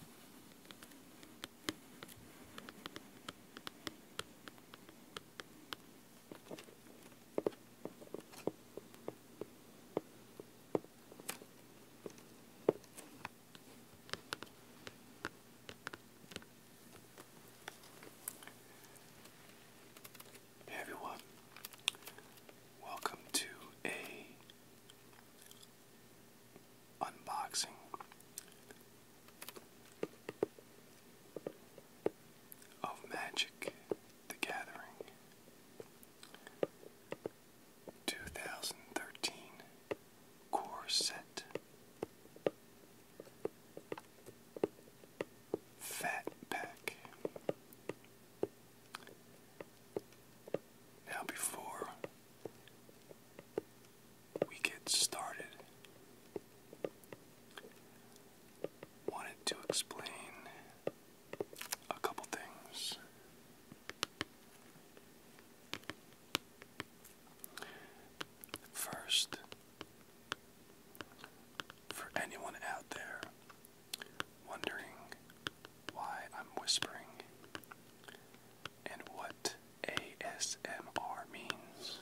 Hey everyone, welcome to a unboxing. Of Magic the Gathering 2013 Core Set Fat Pack. Now, before we get started, wanted to explain a couple things. First, for anyone out there wondering why I'm whispering and what ASMR means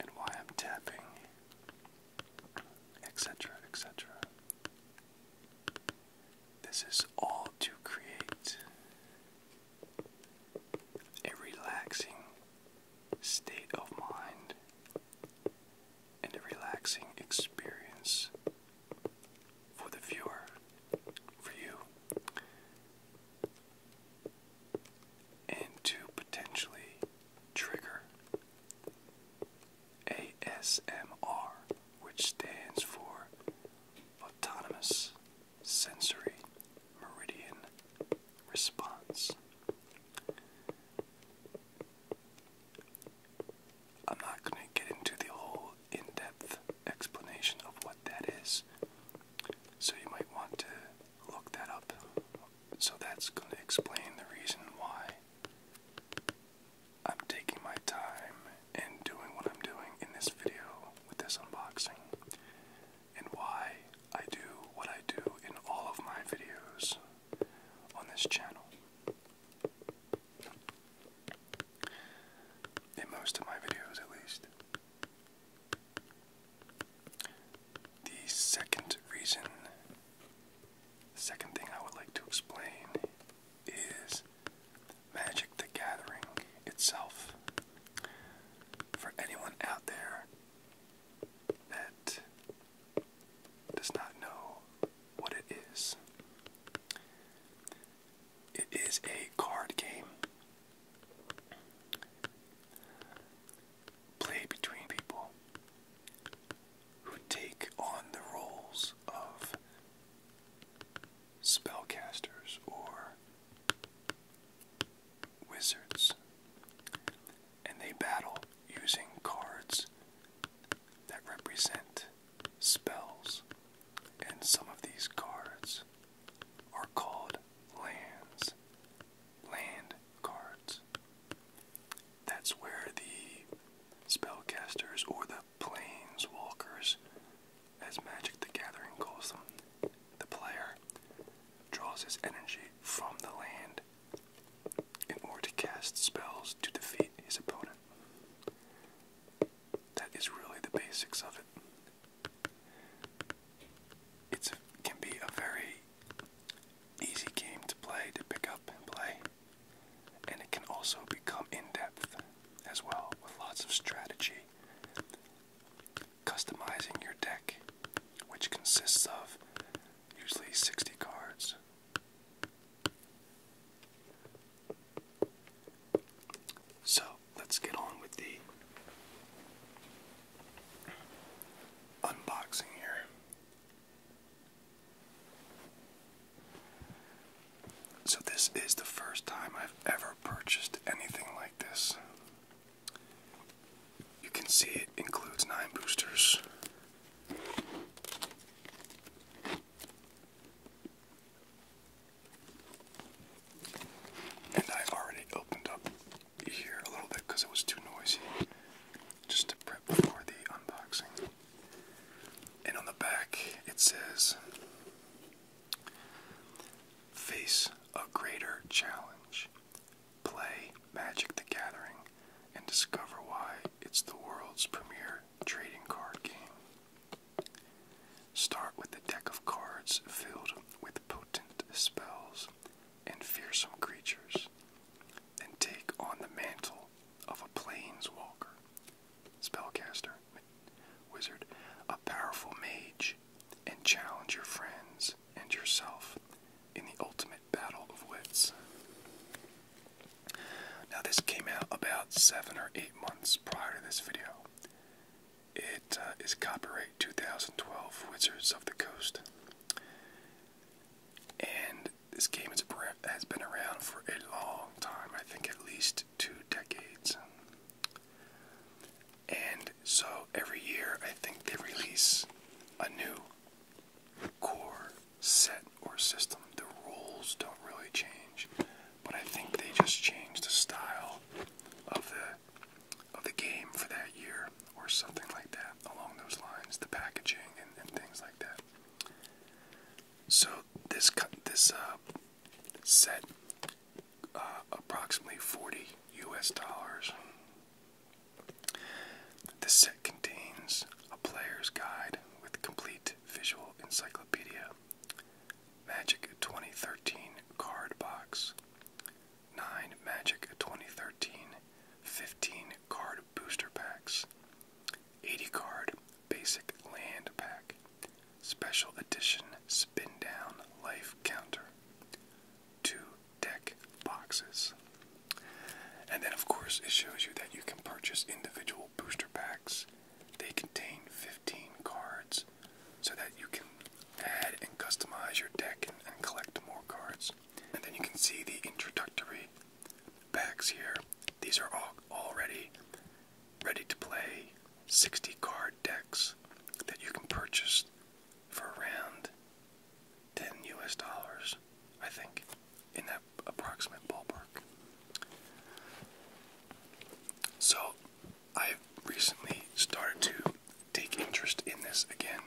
and why I'm tapping, etc., etc. This is all to create a relaxing state of mind and a relaxing experience for the viewer, for you, and to potentially trigger ASMR, which stands for Autonomous Sensory Meridian Response. I'm not going to get into the whole in depth explanation of what that is, so you might want to look that up. So that's going to explain the reason why I'm taking my time and doing what I'm doing in this video with this unboxing, and why I do what I do in all of my videos on this channel in most of my videos at least. The second reason, second thing I would like to explain is Magic the Gathering itself. For anyone out there that does not know what it is, it is a card game played between people who take on the roles of spellcasters or wizards, and they battle using cards that represent spells, and some of these cards are called lands. Land cards. That's where the spellcasters or the planeswalkers, as Magic the Gathering calls them, the player draws his energy from the land in order to cast spells to defeat his opponent. That is really the basics of it. It can be a very easy game to play, to pick up and play, and it can also become in depth as well with lots of strategy. Customizing your deck, which consists of usually 60 cards, so let's get on with the unboxing here. So, this is the first time I've ever purchased anything like this. You can see it includes nine boosters. And I already opened up here a little bit because it was too noisy just to prep for the unboxing. And on the back it says Face a greater challenge. Play Magic the Gathering and discover why it's the world's premier trading card game. Start with a deck of cards filled with potent spells and fearsome creatures, and take on the mantle of a planeswalker, spellcaster, wizard, a powerful mage, and challenge your friends and yourself in the ultimate battle of wits. Now, this came out about seven or eight months prior to this video. It uh, is copyright 2012 Wizards of the Coast. And this game has been around for a long time, I think at least two decades. And so every year, I think they release a new core set or system. The rules don't really change, but I think they just changed the style of the of the game for that year or something like that along those lines, the packaging and, things like that. So this this uh, set uh, approximately 40 U.S. dollars. This set contains a player's guide with complete visual encyclopedia Magic 2013 card box. 9 Magic 2013 15 card booster packs. 80 card basic land pack. Special edition spin down life counter. Two deck boxes. And then, of course, it shows you that you can purchase individual booster packs they contain 15 cards so that you can add and customize your deck and, collect more cards. And then you can see the introductory packs here. These are all already ready to play 60 card decks that you can purchase for around 10 US dollars, I think, in that approximate ballpark. So, I've recently started to take interest in this again.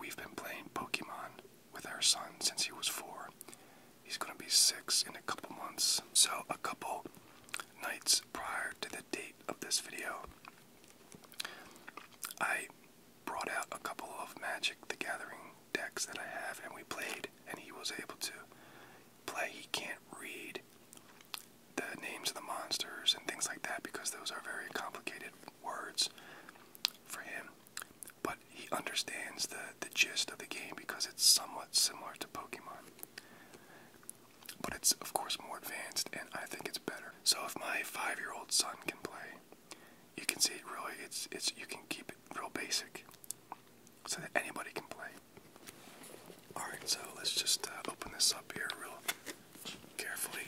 We've been playing Pokemon with our son since he was four. He's going to be six in a couple months. So, a couple nights prior to the date of this video, I brought out a couple of Magic the Gathering decks that I have and we played, and he was able to play, he can't read the names of the monsters and things like that because those are very complicated words for him. But he understands the, the gist of the game because it's somewhat similar to Pokemon. But it's, of course, more advanced and I think it's better. So if my five year old son can play, you can see it really, it's, it's, you can keep it real basic so that anybody can play. Alright, so let's just uh, open this up here real carefully.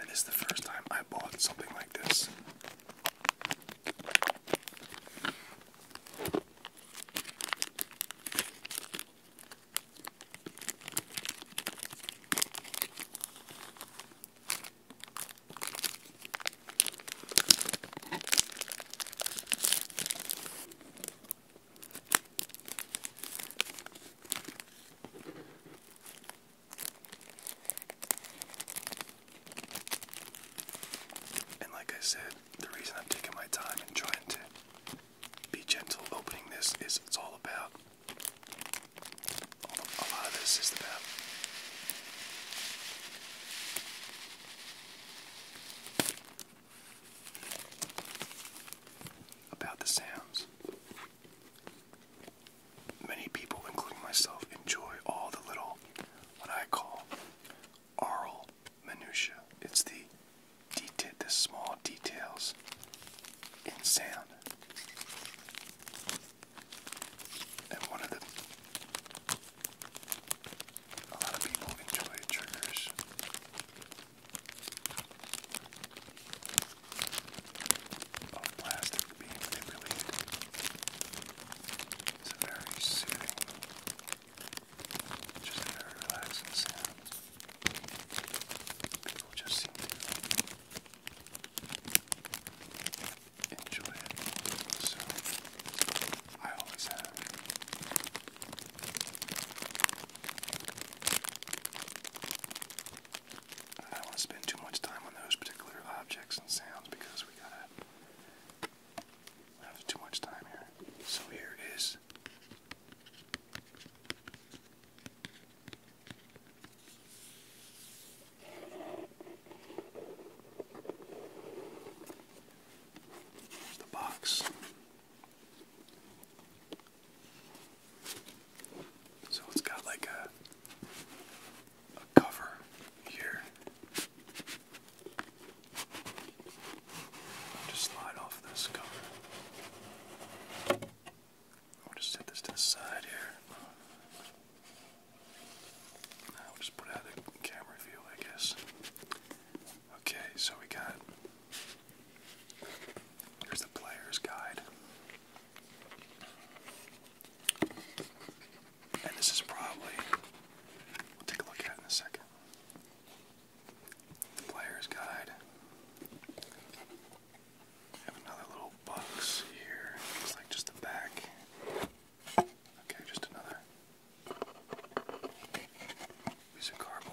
And this is the first time I bought something like this. And like I said, the reason I'm taking my time and trying to be gentle opening this is it's all about a lot of this is about about the sounds Many people, including myself, enjoy all the little, what I call, aural minutia. It's the detail, the small details in sound. And one of the, a lot of people enjoy triggers of plastic being manipulated. It's a very soothing, just a very relaxing sound. People just seem to enjoy it. So I always have. I don't want to spend too much time on those particular objects and sounds because we have gotta have too much time here. So here is the box. So it's got like a a cover here just slide off this cover I'll just set this to the side here I'll just put out the camera view I guess okay so we got Here's the player's guide. And this is probably, we'll take a look at in a second. The player's guide. another little box here. Looks like just the back. Okay, just another piece of cardboard.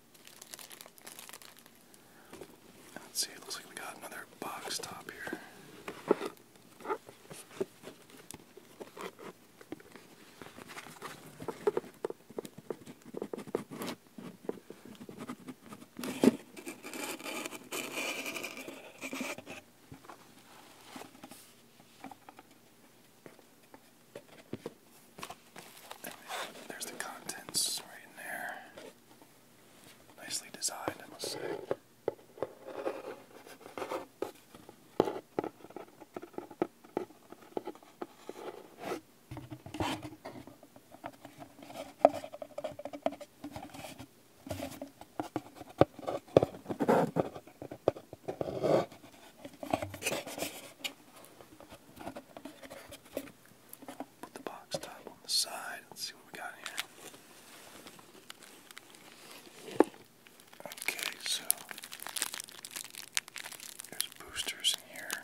Let's see, it looks like we got another box top here. There's the contents right in there. Nicely designed, I must say. Put the box top on the side. Let's see what we got here. Okay, so there's boosters in here.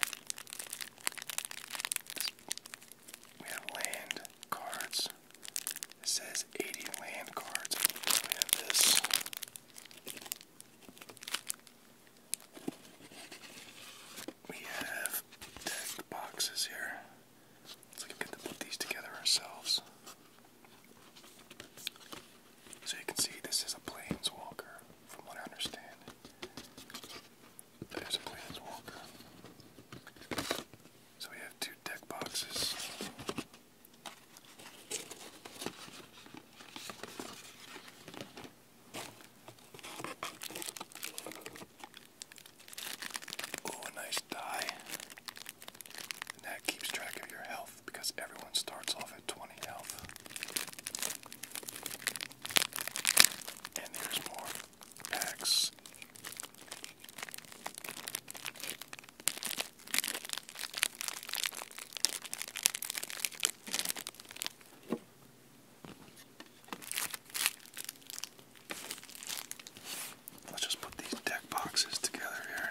We have land cards. It says 80 land cards. We have this. We have decked boxes here. So we get to put these together ourselves. So you can see this is a planeswalker, from what I understand. There's a planeswalker. So we have two deck boxes. Oh, nice die. that keeps track of your health because everyone starts off at 20 health. And there's more packs. Let's just put these deck boxes together here.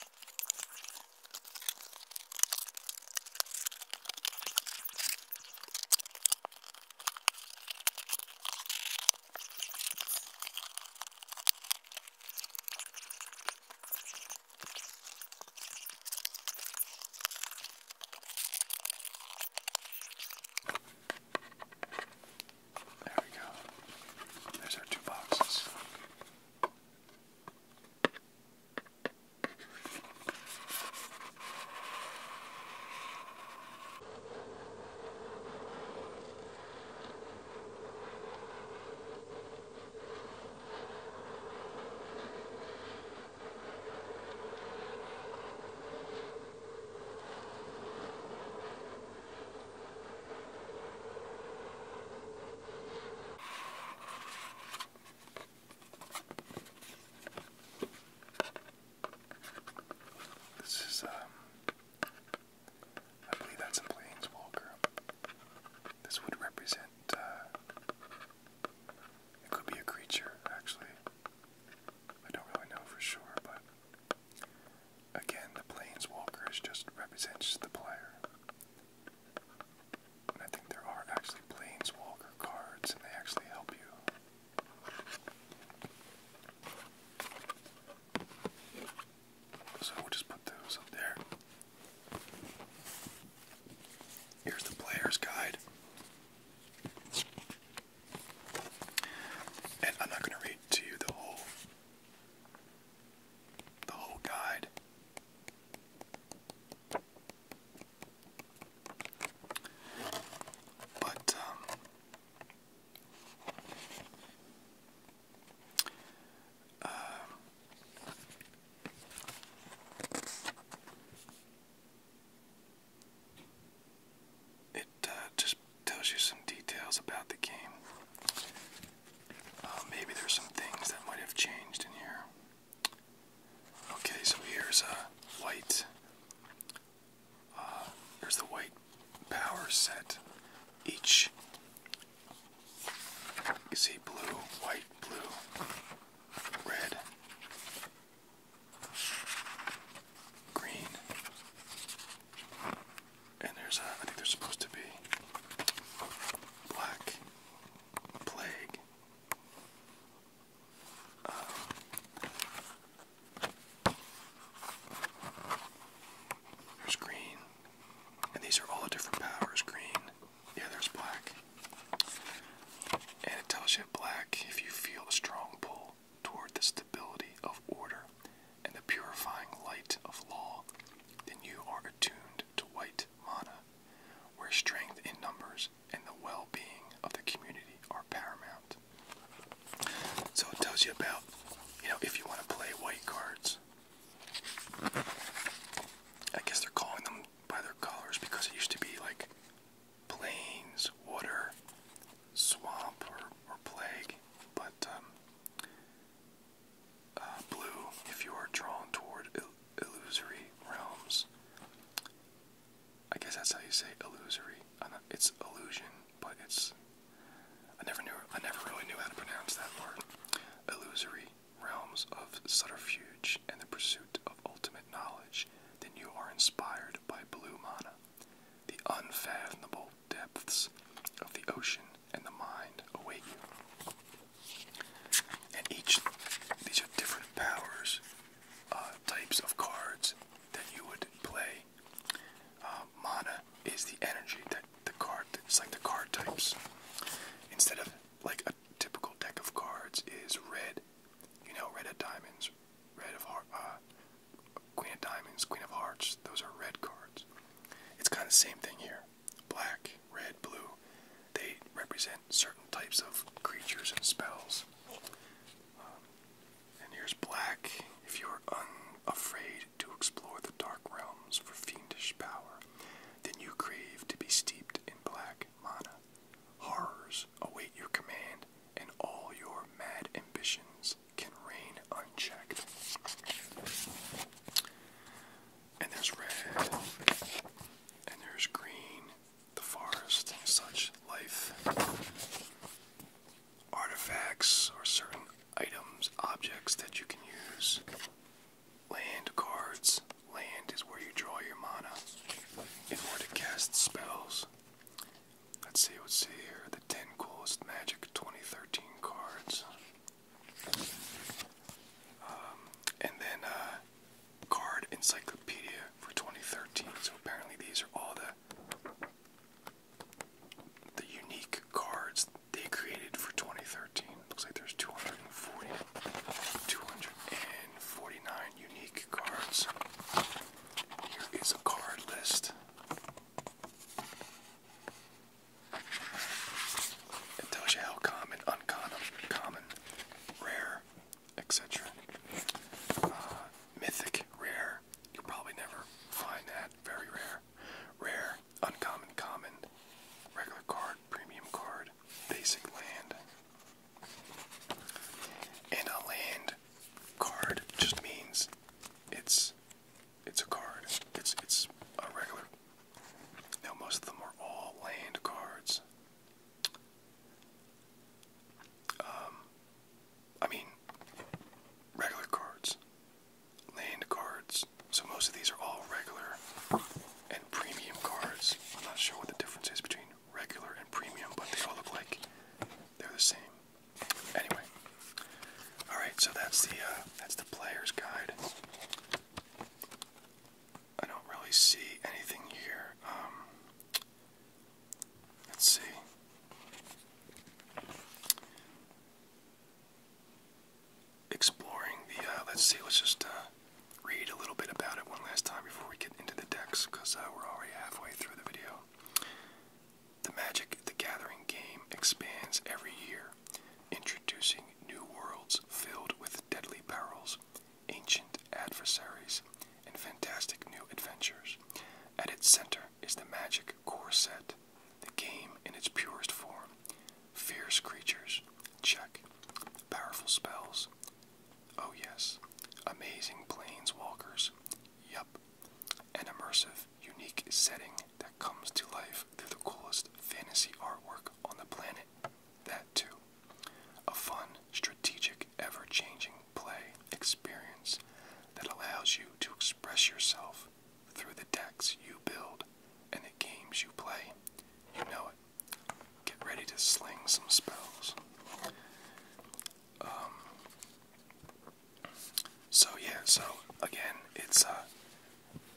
There we go. There's our two boxes. This is, um, I believe that's a planeswalker. This would represent, uh, it could be a creature, actually. I don't really know for sure, but again, the Planeswalker is just represents the player. And I think there are actually Planeswalker cards, and they actually help you. So we'll just put those up there. Here's the player's guide. And I'm not going to read to you the whole the whole guide. But um, it uh, just tells you some details about the game. Uh, maybe there's some things that might have changed in here. Okay, so here's a uh, white. here's the white power set. Each you see blue, white, blue, red, green. And there's a, I think there's supposed to be black plague. there's green. And these are all different powers. Green. Yeah, there's black and it tells intelligent black if you feel a strong pull toward the stability of order and the purifying light of law, then you are attuned to white mana, where strength in numbers and the well being of the community are paramount. So it tells you about, you know, if you want to play white cards. I guess they're calling them by their colors because it used to be like plains, water, swamp, or, plague, but um, uh, blue if you are drawn toward illusory realms. I guess that's how you say illusory. it's illusion, but it's. I never knew. I never really knew how to pronounce that word. Illusory realms of subterfuge and the pursuit of ultimate knowledge then you are inspired by blue mana, the unfathomable depths of the ocean and the mind await you. And each, these are different powers, uh, types of cards that you would play. Uh, mana is the energy that the card, it's like the card types. Instead of like a typical deck of cards is red, you know, red diamonds, red of heart, uh, queen of diamonds, queen of hearts. Those are red cards. It's kind of the same thing here. Black, red, blue. They represent certain types of creatures and spells. Um, and here's black. If you are unafraid to explore the dark realms for fiendish power, then you crave to be steeped in black mana. Horrors await your command and all your mad ambitions can reign unchecked. And there's red, and there's green, the forest, and such life. Artifacts are certain items, objects that you can use. Land cards. Land is where you draw your mana in order to cast spells. Let's see, let's see here. The 10 coolest Magic 2013 cards. Um, and then uh, Card Encyclopedia for 2013. So apparently these are all the the unique cards they created for 2013. Looks like there's 240, 249 unique cards. Here is a card list. It tells you how common, uncommon, common, rare, etc. Uh, mythic, rare. You'll probably never find that. Very rare. Rare, uncommon, common, regular card, premium card, basic land. And a land card just means it's it's a card. It's it's a regular. Now most of them are all land cards. Um, I mean, regular cards, land cards. So most of these are all regular and premium cards. I'm not sure what the difference is between regular and premium, but they all look like they're the same. Anyway, all right. So that's the uh, that's the player's guide. I don't really see anything here. Um, let's see. Exploring the. Uh, let's see. Let's just uh, read a little bit about it one last time before we into the decks because uh, we're already halfway through the video. The Magic the Gathering game expands every year, introducing new worlds filled with deadly perils, ancient adversaries, and fantastic new adventures. At its center is the Magic core set, the game in its purest form. Fierce creatures, check. Powerful spells, Oh, yes, amazing planeswalkers. Yup, an immersive, unique setting that comes to life through the coolest fantasy artwork on the planet. That, too. A fun, strategic, ever changing play experience that allows you to express yourself through the decks you build and the games you play. You know it. Get ready to sling some spells. Um, so yeah, so again, it's uh,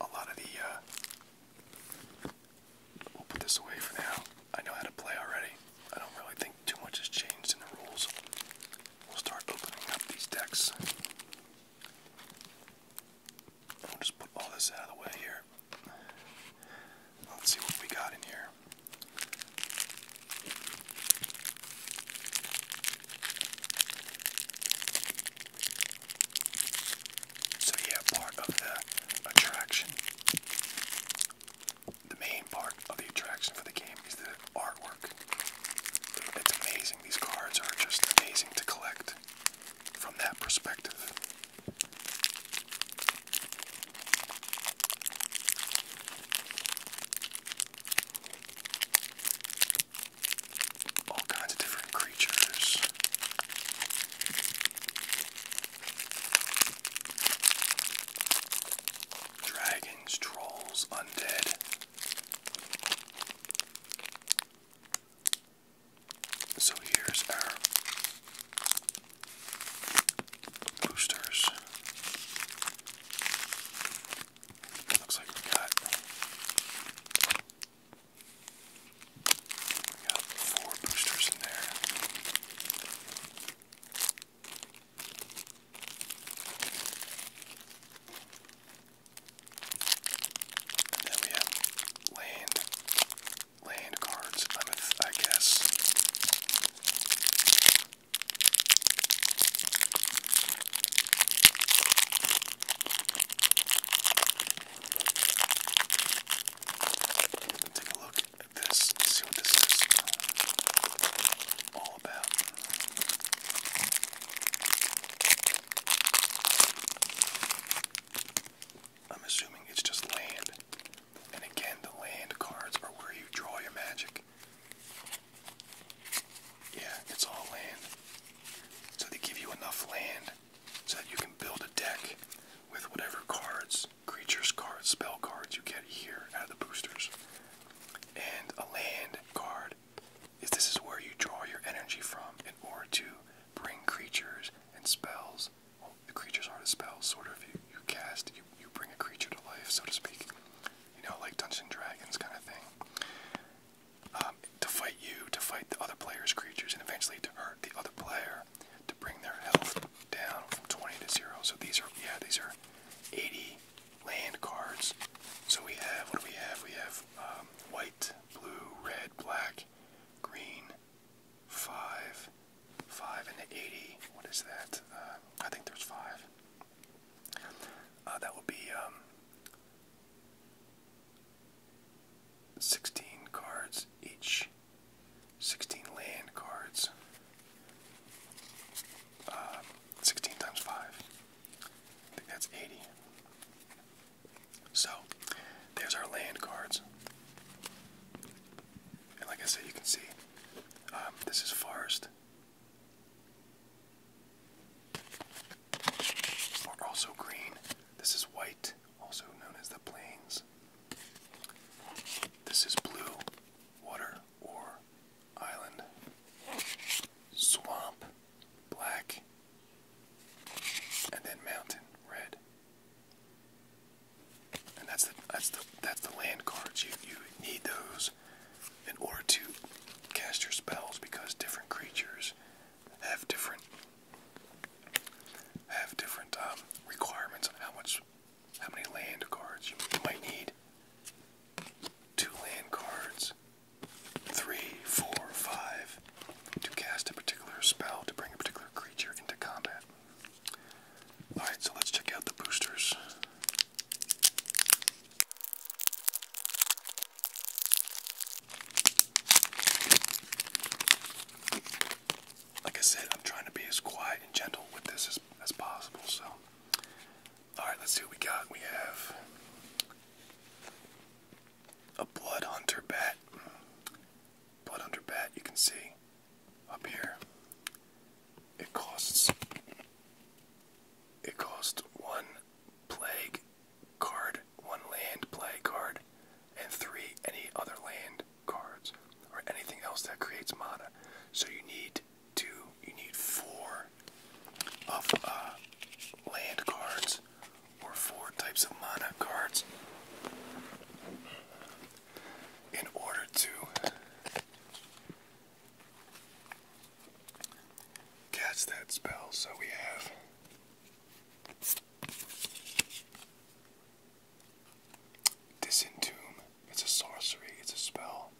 a lot of the. Uh, we'll put this away for now. I know how to play already. I don't really think too much has changed in the rules. We'll start opening up these decks. I'll just put all this out of the way here. Let's see what we got in here. So, yeah, part of the attraction, the main part of the attraction for the game is the artwork. It's amazing. These cards are just amazing to collect from that perspective. All kinds of different creatures. Dragons, trolls, undead. So here's our boosters. Looks like we got four boosters in there. And we have land land cards, I guess. Take a look at this and see what this is all about. I'm assuming it's just land and again, the land cards are where you draw your magic. Yeah, it's all land. So they give you enough land so that you can build a deck with whatever cards, creatures cards, spell cards you get here out of the boosters. And a land card is this is where you draw your energy from in order to bring creatures and spells, the creatures are the spells, sort of. You, you cast, you, you bring a creature to life, so to speak. You know, like Dungeons and Dragons kind of thing. Um, to fight you, to fight the other player's creatures, and eventually to hurt the other player, to bring their health down from 20 to 0. So these are, yeah, these are 80 land cards. So we have, what do we have? We have um, white, blue, red, black, green, five, 5 and 80. What is that? Uh, I think there's 5. Uh, that would be um, 16 cards each. 16 land cards. Uh, 16 times 5. I think that's 80. So, there's our land cards. And like I said, you can see um, this is forest. Or also green. This is white, also known as the plains. This is blue, water or island. Swamp, black. And then mountain, red. And that's the that's the that's the land cards. You you need those in order to cast your spells because different creatures have different have different um, requirements on how much how many land cards you might need. Two land cards, three, four, five, to cast a particular spell to bring a particular creature into combat. Alright, so let's check out the boosters. Like I said, I'm trying to be as quiet and gentle with this as, as possible, so. Alright, let's see what we got. We have a Blood Hunter bat. Blood Hunter bat, you can see up here. It costs it costs one plague card, one land play card, and three any other land cards or anything else that creates mana. So you need two, you need four of uh, land cards or four types of mana cards in order to cast that spell. So we have Disentomb. It's a sorcery, it's a spell.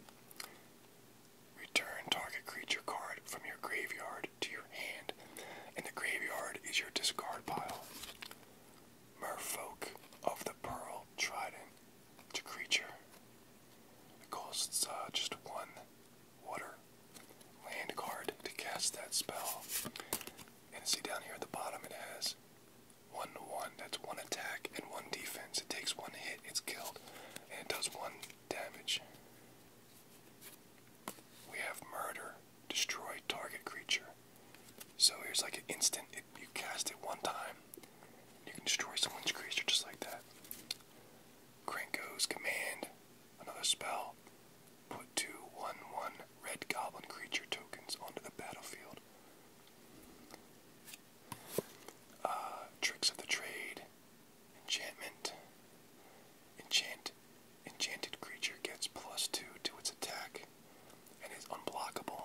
Return target creature card from your graveyard to your hand, and the graveyard is your discard pile. Merfolk of the Pearl Trident to creature. It costs uh, just one water land card to cast that spell. And see down here at the bottom it has one to one. That's one attack and one defense. It takes one hit, it's killed, and it does one damage. We have murder. Destroy target creature. So here's like an instant. It, you cast it one time, you can destroy someone's creature just like that. Krenko's command, another spell. Put two one one red goblin creature tokens onto the battlefield. Uh, tricks of the trade, enchantment, enchant, enchanted creature gets plus two to its attack and is unblockable.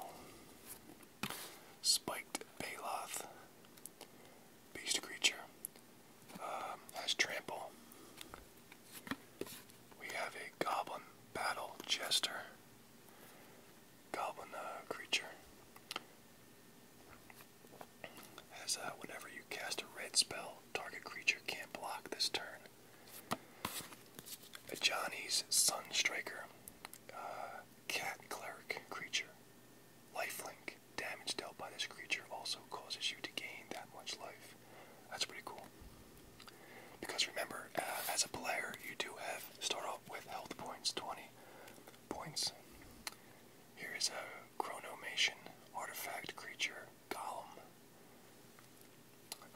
Spiked Baloth. Beast creature. Um, has trample. We have a goblin battle jester. Goblin uh, creature. As uh, whenever you cast a red spell, target creature can't block this turn. A Johnny's Sun Striker. Uh, cat cleric creature. Lifelink. Damage dealt by this creature also causes you to gain that much life. That's pretty cool. Because remember, uh, as a player, you do have start off with health points, 20 points. Here is a Chronomation artifact creature golem.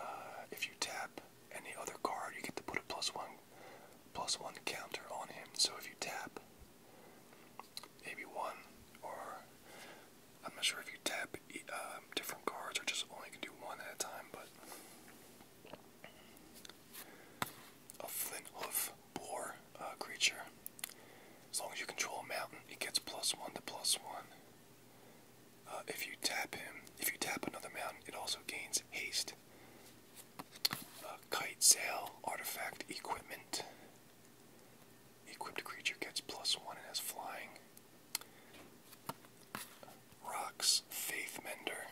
Uh, if you tap any other card, you get to put a plus one, plus one counter on him. So if you tap, maybe one, or I'm not sure if you tap um, different cards or just only can do one at a time, but a flint hoof boar uh, creature. As long as you control a mountain, it gets plus one to plus one. Uh, if you tap him, if you tap another mountain, it also gains haste kite sail artifact equipment. Equipped creature gets plus one and has flying. Rocks faith mender.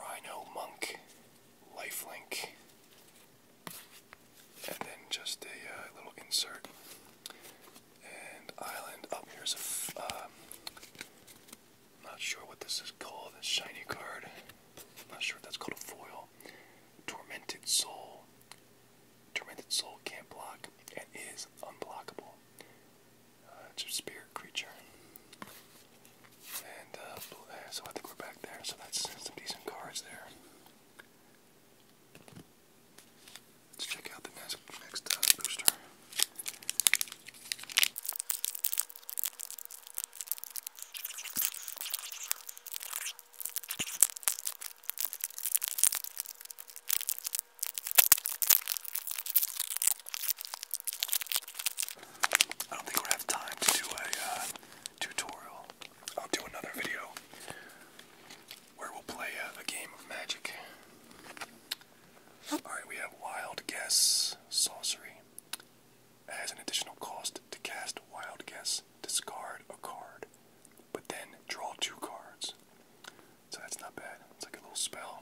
Rhino monk. Lifelink. And then just a uh, little insert. And island up oh, here's a. Uh, not sure what this is called. This shiny card. Not sure if that's called a foil. Tormented Soul. Tormented Soul can't block and is unblockable. Uh, it's a spirit creature. And uh, uh so I think we're back there. So that's some decent cards there. Let's check out the next, uh, booster. I don't think we have time to do a uh, tutorial. I'll do another video where we'll play a game of Magic. Alright, we have Wild Guess Sorcery. As an additional cost to cast Wild Guess, discard a card, but then draw two cards. So that's not bad. It's like a little spell.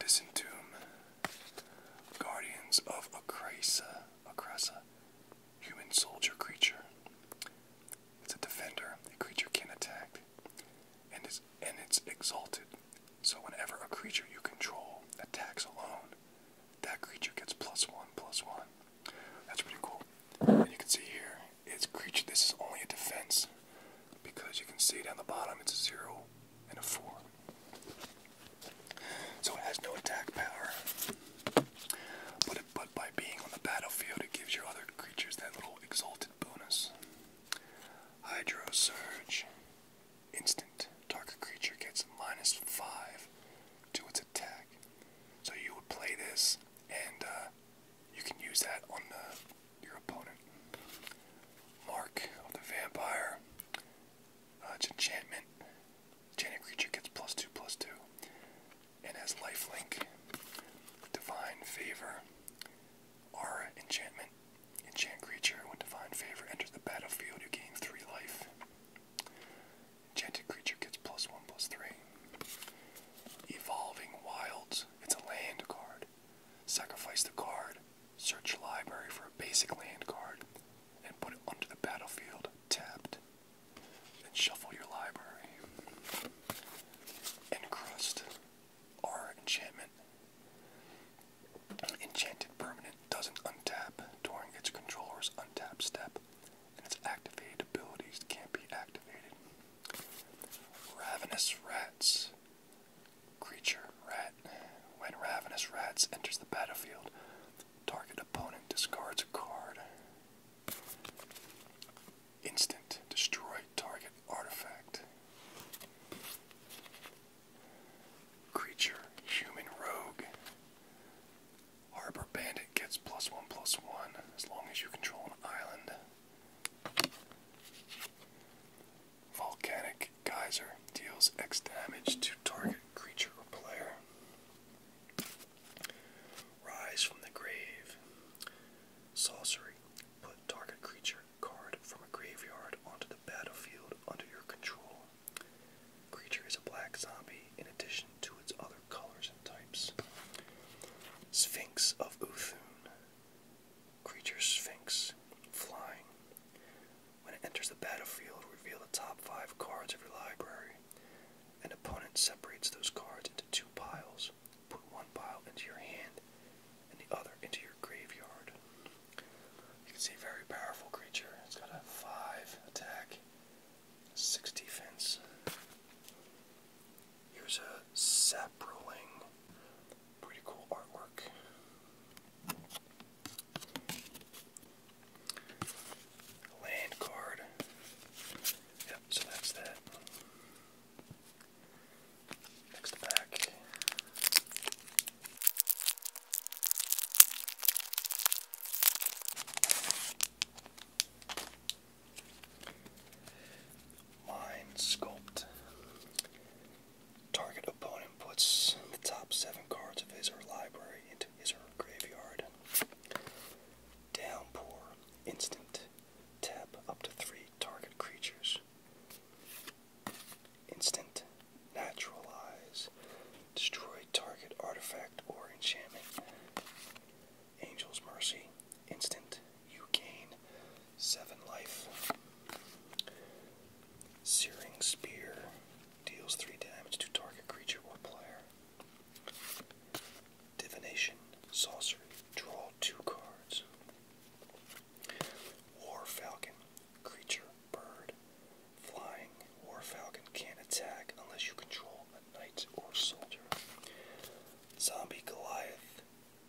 Disentomb. Guardians of Acrasa. Acrasa. Human soldier creature. It's a defender. The creature can attack. And it's and it's exalted. So whenever a creature you control attacks alone, that creature gets plus one, plus one. That's pretty cool. And you can see here, it's creature. This is only a defense because you can see down the bottom it's a zero and a four. So it has no attack power. But but by being on the battlefield, it gives your other creatures that little exalted bonus. Hydro Surge instant, target creature gets minus five to its attack. So you would play this, and uh, you can use that on uh, your opponent. Mark of the Vampire. Uh, it's enchantment. Enchanted creature gets plus two, plus two, and has life link, Divine Favor. Aura enchantment. Enchant creature. When divine favor enters the battlefield, you gain three life. Enchanted creature gets plus one plus three. Evolving Wilds. It's a land card. Sacrifice the card. Search library for a basic land card and put it onto the battlefield tapped. Then shuffle your library. Encrust. R enchantment. Enchanted permanent doesn't untap during its controller's untap step, and its activated abilities can't be activated. Ravenous rats. Creature rat. When ravenous rats enters the battlefield, target opponent discards a card. Instant destroy target artifact. Creature, human rogue. Harbor bandit gets plus one plus one as long as you control an island. Volcanic geyser deals X damage to target creature or player. Rise from the grave. Sorcery. Put target creature card from a graveyard onto the battlefield under your control. Creature is a black zombie in addition to its other colors and types. Sphinx of Uthun. Creature Sphinx. Flying. When it enters the battlefield, reveal the top five cards of your library. An opponent separates those cards into two piles. Put one pile into your hand and the other into your graveyard. You can see a very powerful creature. It's got a 5 attack, 6 defense. Here's a Saproling. Pretty cool artwork. Land card. Yep, so that's that. Next pack. Mind Sculpt. Target opponent puts the top seven cards of his or library into his or her graveyard. Downpour. Instant. Tap up to three target creatures. Instant, naturalize, destroy target artifact or enchantment. Angel's Mercy, instant, you gain 7 life. Searing Spear deals 3 damage to target creature or player. Divination, Sorcery, draw 2 cards. War Falcon, creature, bird, flying. War Falcon can't attack unless you control a knight or soldier. Zombie Goliath,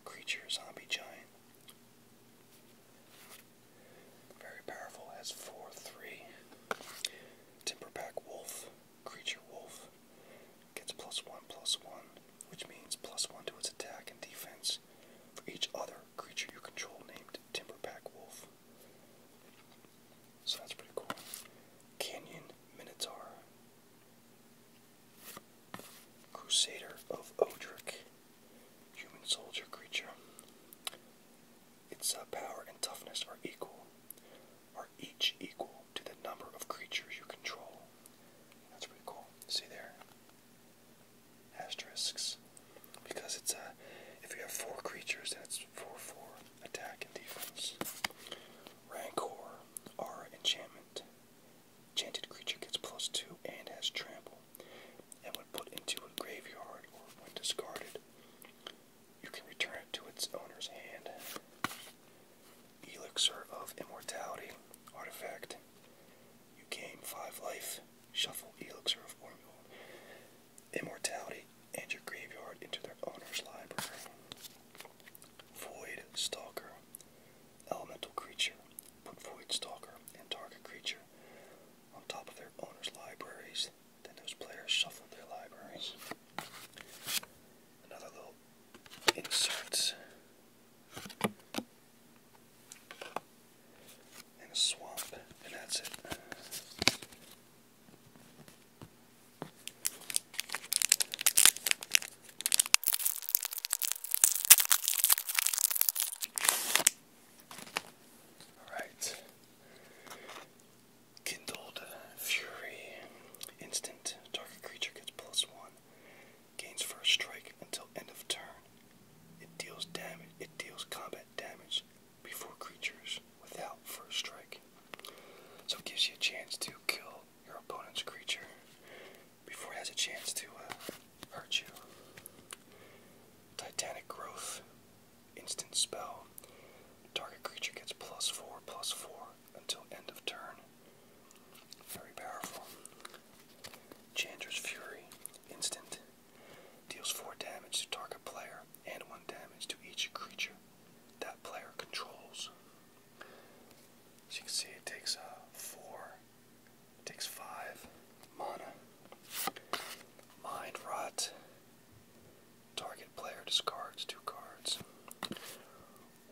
creature, zombie giant. Very powerful, has 4 3. Timberback wolf, creature wolf. Gets plus 1 plus 1, which means plus 1 to its attack and defense for each other creature you control named Timberpack Wolf. So that's pretty cool. Canyon Minotaur. Crusader of Odrick, Human soldier creature. Its uh, power and toughness are equal, are each equal to the number of creatures you control. That's pretty cool. See there? asterisks because it's a if you have four creatures then it's four four attack and defense. Rancor, our enchantment, Chanted creature gets plus two and has trample, and when put into a graveyard or when discarded, you can return it to its owner's hand. Elixir of Immortality artifact. You gain 5 life, shuffle Elixir of Immortality, and your graveyard into their owner's library. Void Stalker. Elemental creature. Put Void Stalker and target creature on top of their owner's libraries. Then those players shuffle their libraries. Another little insert and a swamp, and that's it. Alright. Kindled Fury. Instant. Target creature gets plus one gains first strike until end of turn. It deals damage. It deals combat damage before creatures without first strike. So it gives you a chance to kill your opponent's creature before it has a chance to uh, hurt you. Titanic Growth, instant spell. Target creature gets plus four, plus four until end of turn. Very powerful. Chandra's Fury, instant, deals 4 damage to target player and 1 damage to each creature that player controls. As you can see, it takes uh, 4, takes 5 mana. Mind Rot, target player discards 2 cards.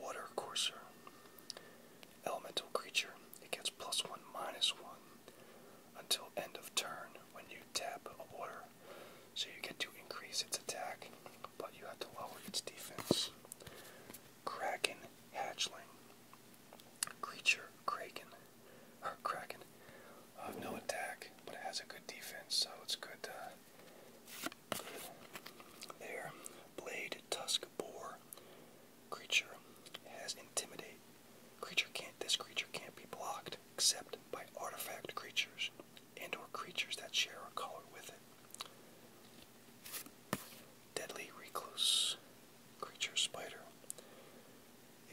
Water Courser, elemental creature, it gets plus one minus one until end of turn when you tap a water. So you get to increase its attack, but you have to lower its defense. Kraken hatchling. Creature Kraken. Or Kraken. Uh, no attack, but it has a good defense, so it's good. Uh, there. Blade Tusk Boar. Creature has intimidate. Creature can't this creature can't be blocked except by artifact creatures and or creatures that share a color with it. Deadly recluse creature spider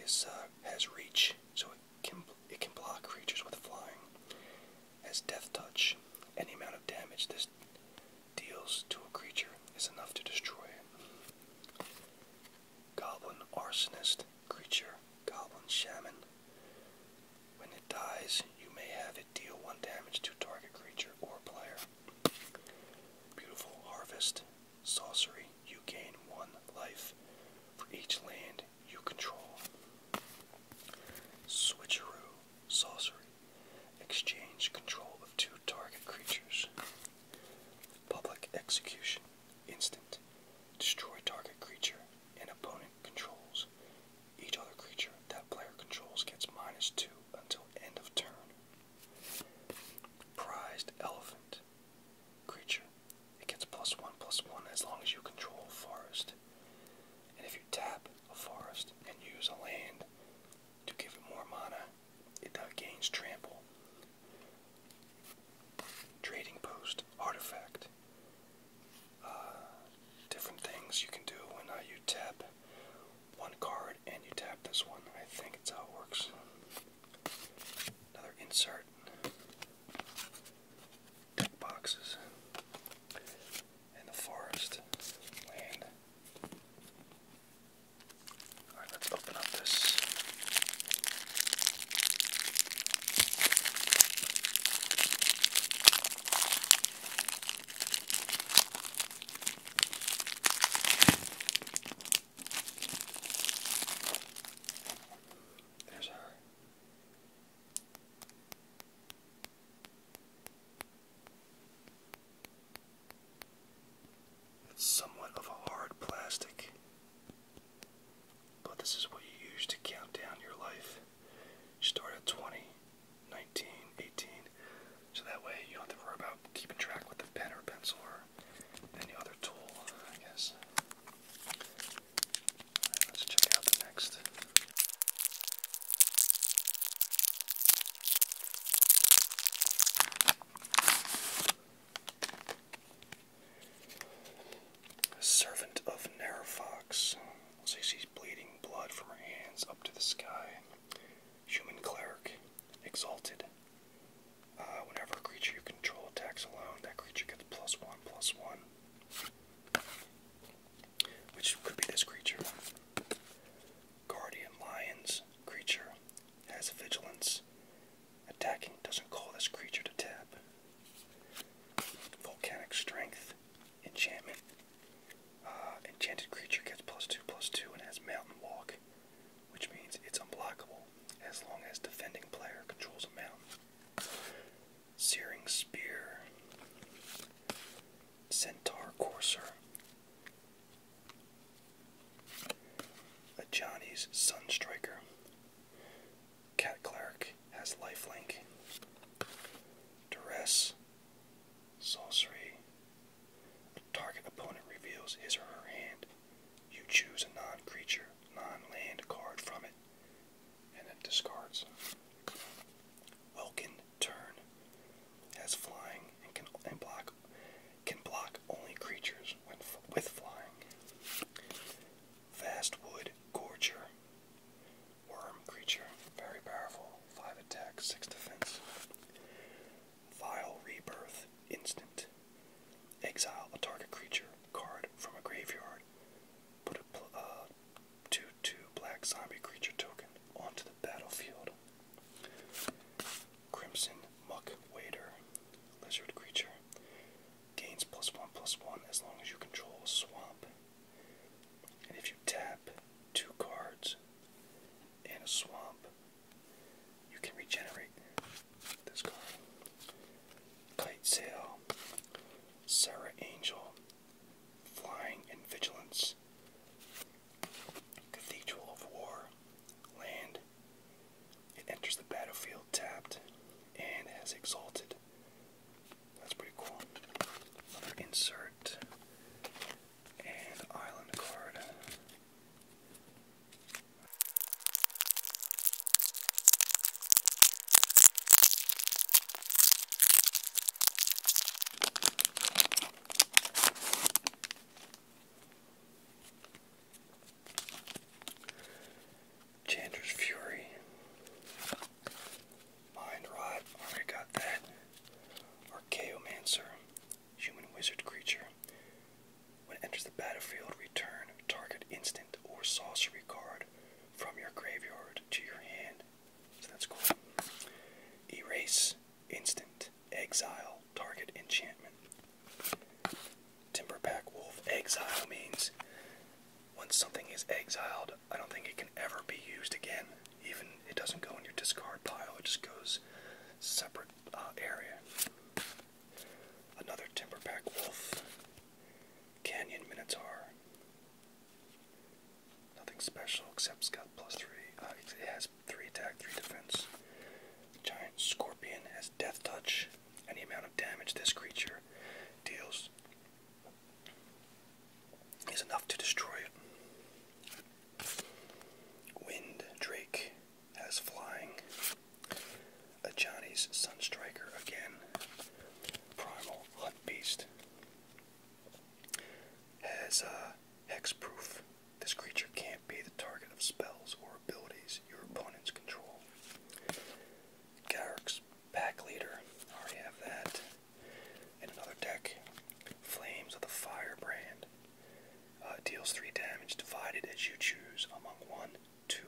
is uh, has reach so it can it can block creatures with flying. Has death touch. Any amount of damage this deals to a creature is enough to destroy it. Goblin Arsonist, creature, Goblin Shaman. When it dies, you may have it deal one damage to target creature or player. Beautiful Harvest, Sorcery, you gain one life for each land you control. Switcheroo, Sorcery, exchange control of two target creatures. Public execution. Instant. Destroy target creature and opponent controls. Each other creature that player controls gets minus two until end of turn. Prized elephant. Creature. It gets plus one plus one as long as you control forest. And if you tap a forest and use a land to give it more mana, it uh, gains trample. Trading post, artifact. Uh, different things you can do when uh, you tap one card and you tap this one. I think it's how it works. Another insert. Deck boxes. And the forest. Alright, let's open up this. There's her. It's somewhat of a hard plastic, but this is what you use to count down your life. start at 20, so that way you don't have to worry about keeping track with the pen or pencil or any other tool, I guess. let's check out the next. Servant of Nerefox. Looks like she's bleeding blood from her hands up to the sky. Human cleric. Exalted. Uh, whenever a creature you control attacks alone, that creature gets plus one, plus one. Which could be this creature guardian lion's creature has vigilance. Attacking doesn't call this creature to tap. Volcanic strength enchantment. Uh, enchanted creature gets plus two plus two and has mountain walk, which means it's unblockable as long as defending player controls a mountain. Searing spear. Centaur courser a Johnny's Sunstriker. Cat has lifelink. Duress. Sorcery. A target opponent reveals his or her hand. You choose a non creature, non land card from it, and it discards. Welkin Turn has flying and can block can block only creatures with flying. Fast Wood Gorger. Worm creature. Very powerful. 5 attack, 6 defense. Vile Rebirth. Instant. Exile a target creature card from a graveyard. Put a 2-2 uh, black zombie creature token onto the battlefield. Crimson Muck Wader, lizard creature, gains plus one plus one as long as you control a swamp. And if you tap two cards in a swamp, you can regenerate this card. Kite Sail, Sarah Angel, Flying and Vigilance. Cathedral of War, land. It enters the battlefield tapped and has exalted. That's pretty cool. Another insert and island card. Chandra's Fury. Mind Rot. Already got that. Archaeomancer. Human wizard creature. When it enters the battlefield, return target instant or sorcery card from your graveyard to your hand. So that's cool. Erase instant. Exile target enchantment. Timberpack Wolf Exile means once something is exiled, I don't think it can ever be used again. Even it doesn't go in your discard pile, it just goes separate uh, area. Another Timberpack Wolf. Canyon Minotaur. Nothing special except it plus three. Uh, it has 3 attack, 3 defense. Giant Scorpion has Death Touch. Any amount of damage this creature deals is enough to destroy it. Wind Drake has Flying. Ajani's Sunstriker again. Primal Hunt Beast has uh, Hexproof. This creature can't be the target of spells or abilities your opponents control. Garrick's Pack Leader, already have that. In another deck, Flames of the Firebrand. Uh, deals 3 damage divided as you choose among 1, 2,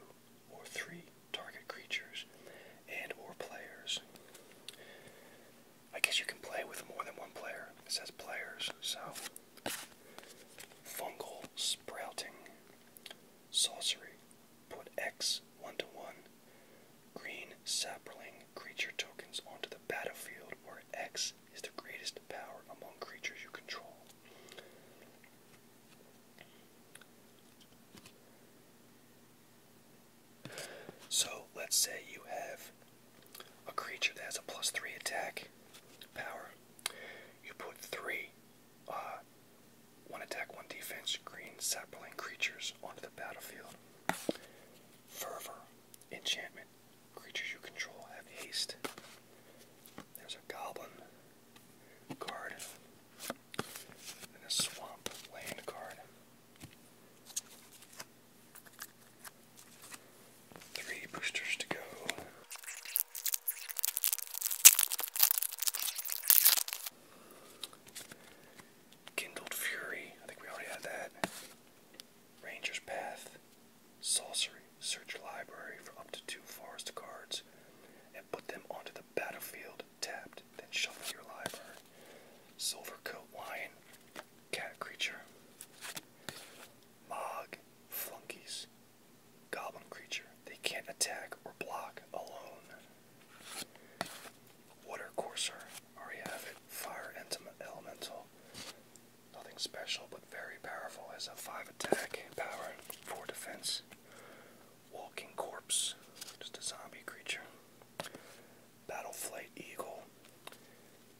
or 3 target creatures and or players. I guess you can play with more than one player. It says players, so Fungal Sprouting. Sorcery. Put X 1 to 1 green sapling creature tokens onto the battlefield where X is the greatest power among creatures you control. So let's say you have a creature that has a plus three attack power. You put three, uh, one attack, one defense, green sapling creatures onto the battlefield. Fervor, enchantment, creatures you control have haste. There's a goblin card and a swamp land card. Three boosters to go. Kindled Fury, I think we already had that. Ranger's Path, Sorcery, search library for up to two forest cards and put them onto the battlefield tapped, then shuffle your library. Silver coat wine cat creature, Mog flunkies, goblin creature. They can't attack or block alone. Water courser, already have it. Fire elemental, nothing special but very powerful. Has a five attack power, four defense. Walking corpse, just a zombie creature. Battle flight eagle,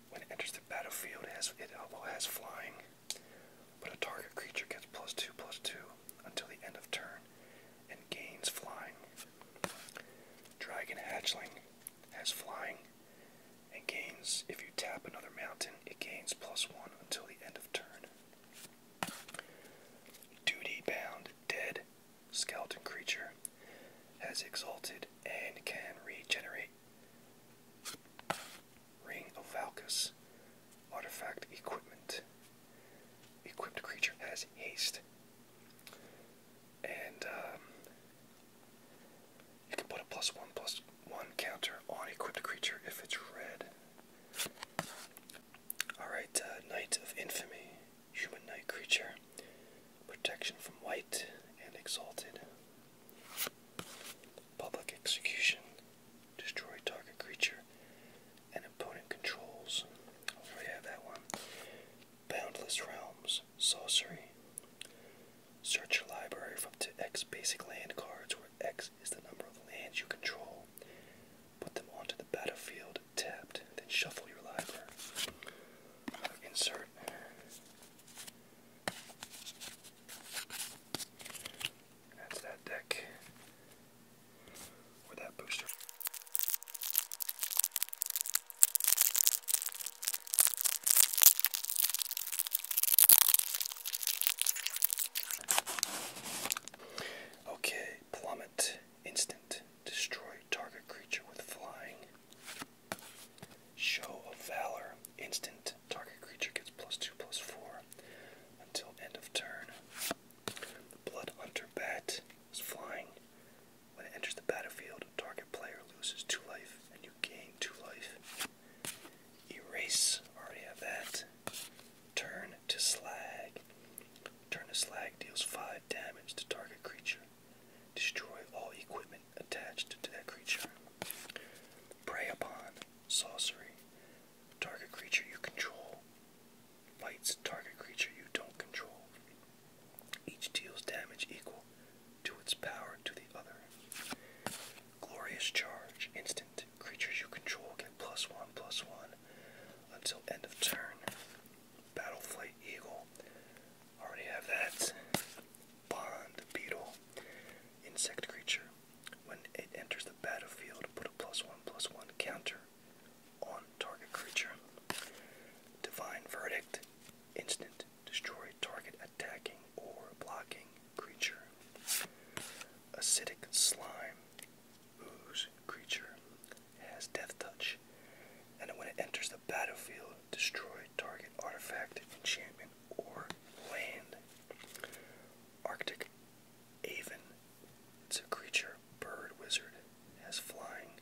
when it enters the battlefield, it, has, has flying, but a target creature gets plus two plus two until the end of turn and gains flying. Dragon Hatchling has flying and gains, if you tap another mountain, it gains plus one until the end of turn. Duty bound dead skeleton creature has exalted and can regenerate Ring of Valkus. Artifact equipment. Equipped creature has haste. And um, you can put a plus one plus one counter on equipped creature if it's red. Alright, uh, Knight of Infamy. Human Knight creature. Protection from white and exalted. Public execution. Destroy target creature and opponent controls. Hopefully I have that one. Boundless Realms. Sorcery. Search your library for up to X basic land cards where X is the number of lands you control. Put them onto the battlefield tapped, then shuffle your library. Insert that's that deck or that booster. Okay, plummet, instant, destroy target creature with flying. Show of Valor. Instant. Target creature gets plus 2, plus 4 until end of turn. The Blood Hunter Bat is flying. When it enters the battlefield, a target player loses 2 life and you gain 2 life. Erase. Already have that. Turn to Slag. Turn to Slag deals 5 damage to target creature. Destroy all equipment attached to that creature. Prey upon sorcery. Target creature you control bites target creature you don't control. Each deals damage equal to its power to the other. Glorious charge, instant. Creatures you control get plus one, plus one until end of turn. Battle Eagle. Already have that bond beetle insect creature. When it enters the battlefield, put a plus one plus one counter on target creature. Divine verdict. Instant. Destroy target attacking or blocking creature. Acidic slime. Ooze creature. Has death touch. And when it enters the battlefield, destroy target artifact, enchantment, or land. Arctic Avon. It's a creature, bird, wizard, has flying,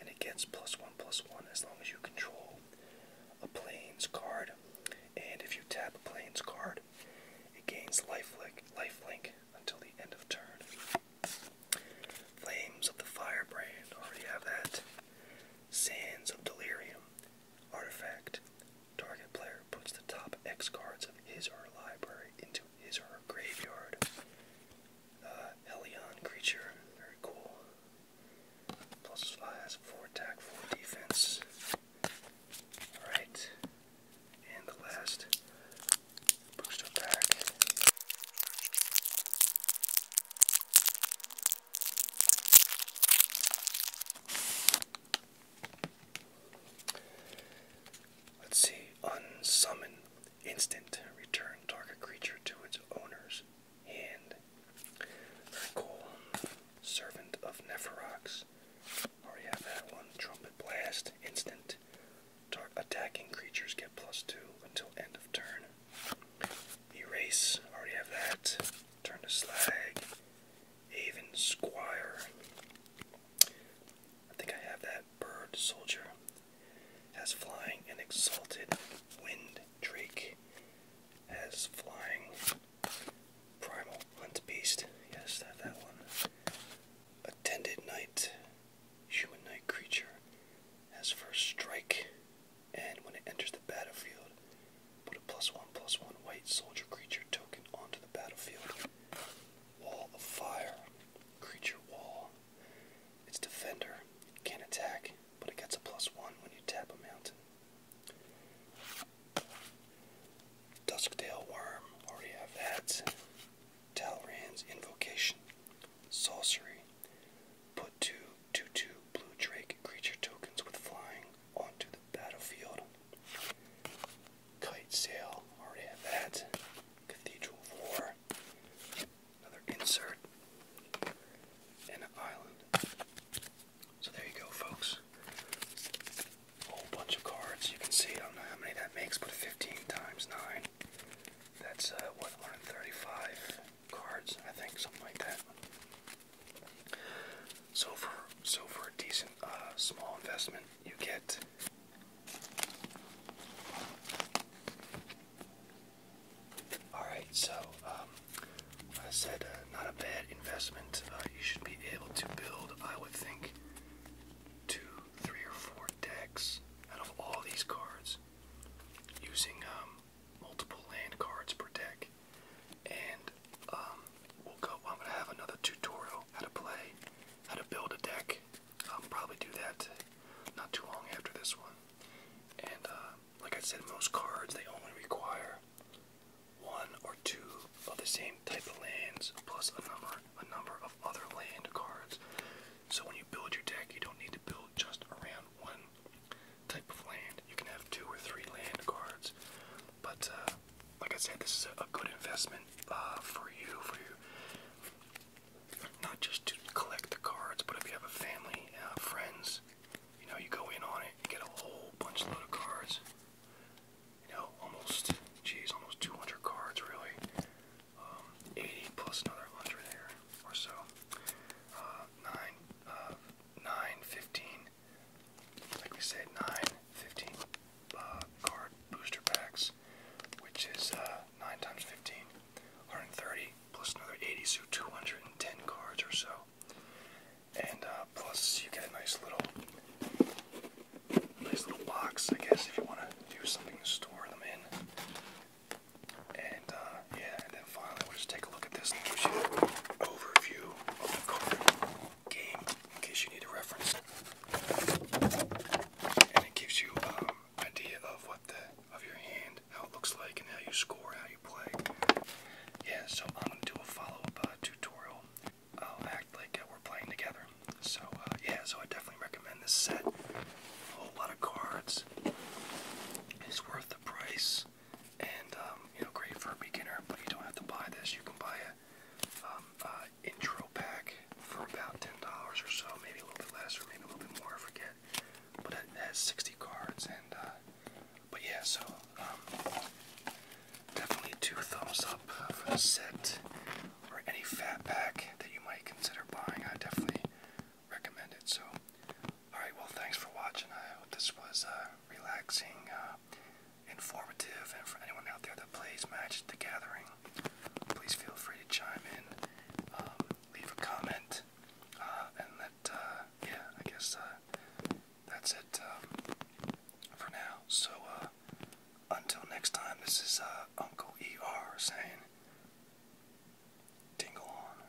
and it gets plus one plus one as long as you control a planes card. And if you tap a planes card, it gains life link until the end of turn. Flames of the Firebrand, already have that. Sands of Delirium. Artifact. Target player puts the top X cards of his or her library into his or her graveyard. Uh, creature, very cool. Plus 5 has 4 attack, 4 defense. Alright. And the last booster pack. Let's see. Unsummon. Instant. Return target creature to its owner's hand. Very cool. Servant of Neferox. Already have that one. Trumpet Blast. Instant. Tar attacking creatures get plus two until end of turn. Erase. Already have that. Turn to Slag, even Squire. I think I have that bird soldier. Has flying and exalted wind drake. as flying primal hunt beast. Yes, that that one. Attended knight, human knight creature. as first strike and when it enters the battlefield, put a plus one plus one white soldier creature token onto the battlefield. Wall of Fire, creature wall. Its defender can't attack, but it gets a plus one when you tap a mountain. Duskdale Worm, already have that. Talran's Invocation, Sorcery. Put two 2-2 blue drake creature tokens with flying onto the battlefield. Kite Sail, already have Cathedral of another insert, and an island. So there you go, folks. A whole bunch of cards. You can see, I don't know how many that makes, but 15 times 9. That's, 135? Uh, cards, I think, something like that. So for so for a decent uh, small investment, you get all right. So um, I said uh, not a bad investment. Uh, you should be able to build, I would think, two, three, or four decks out of all these cards using um, multiple land cards per deck. And um, we'll go. I'm gonna have another tutorial how to play, how to build a deck. I'll probably do that not too long after this one. And uh, like I said, most cards they only require one or two of the same type of lands plus a number a number of other land cards. So when you build your deck, you don't need to build just around one type of land. You can have two or three land cards, but uh, like I said, this is a, a good investment uh, for you, for you, not just to collect the cards, but if you have a family, uh, friends, you know, you go in on it, you get a whole bunch load of cards. You know, almost, geez, almost 200 cards, really. Um, 80 plus another 100 there or so. Uh, nine, uh, 9, like we said, 9, uh, card booster packs, which is uh, 9 times 15, plus another 80, so 210 cards or so. And uh, plus you get a nice little, nice little box, I guess, if you want to do something to store them in. And yeah, and then finally we'll just take a look at this and give you an overview of the card game in case you need a reference. And it gives you an um, idea of what the of your hand, how it looks like, and how you score, how you play. Yeah, so I'm gonna do a follow-up uh, tutorial. I'll act like uh, we're playing together. So uh, yeah, so I definitely recommend this set. A whole lot of cards. It's worth the price and um, you know, great for a beginner. But you don't have to buy this. You can buy a um, uh, intro pack for about ten dollars or so, maybe a little bit less, or maybe a little bit more. I forget. But it has 60 cards, and uh, but yeah, so um, definitely two thumbs up for the set or any fat pack that you might consider buying. I definitely recommend it. So Alright, well, thanks for watching. I hope this was uh, relaxing, uh, informative, and for anyone out there that plays Magic the Gathering, please feel free to chime in, um, leave a comment, uh, and let, yeah, I guess that's it um, for now. So, until next time, this is Uncle ER saying, Dingle on.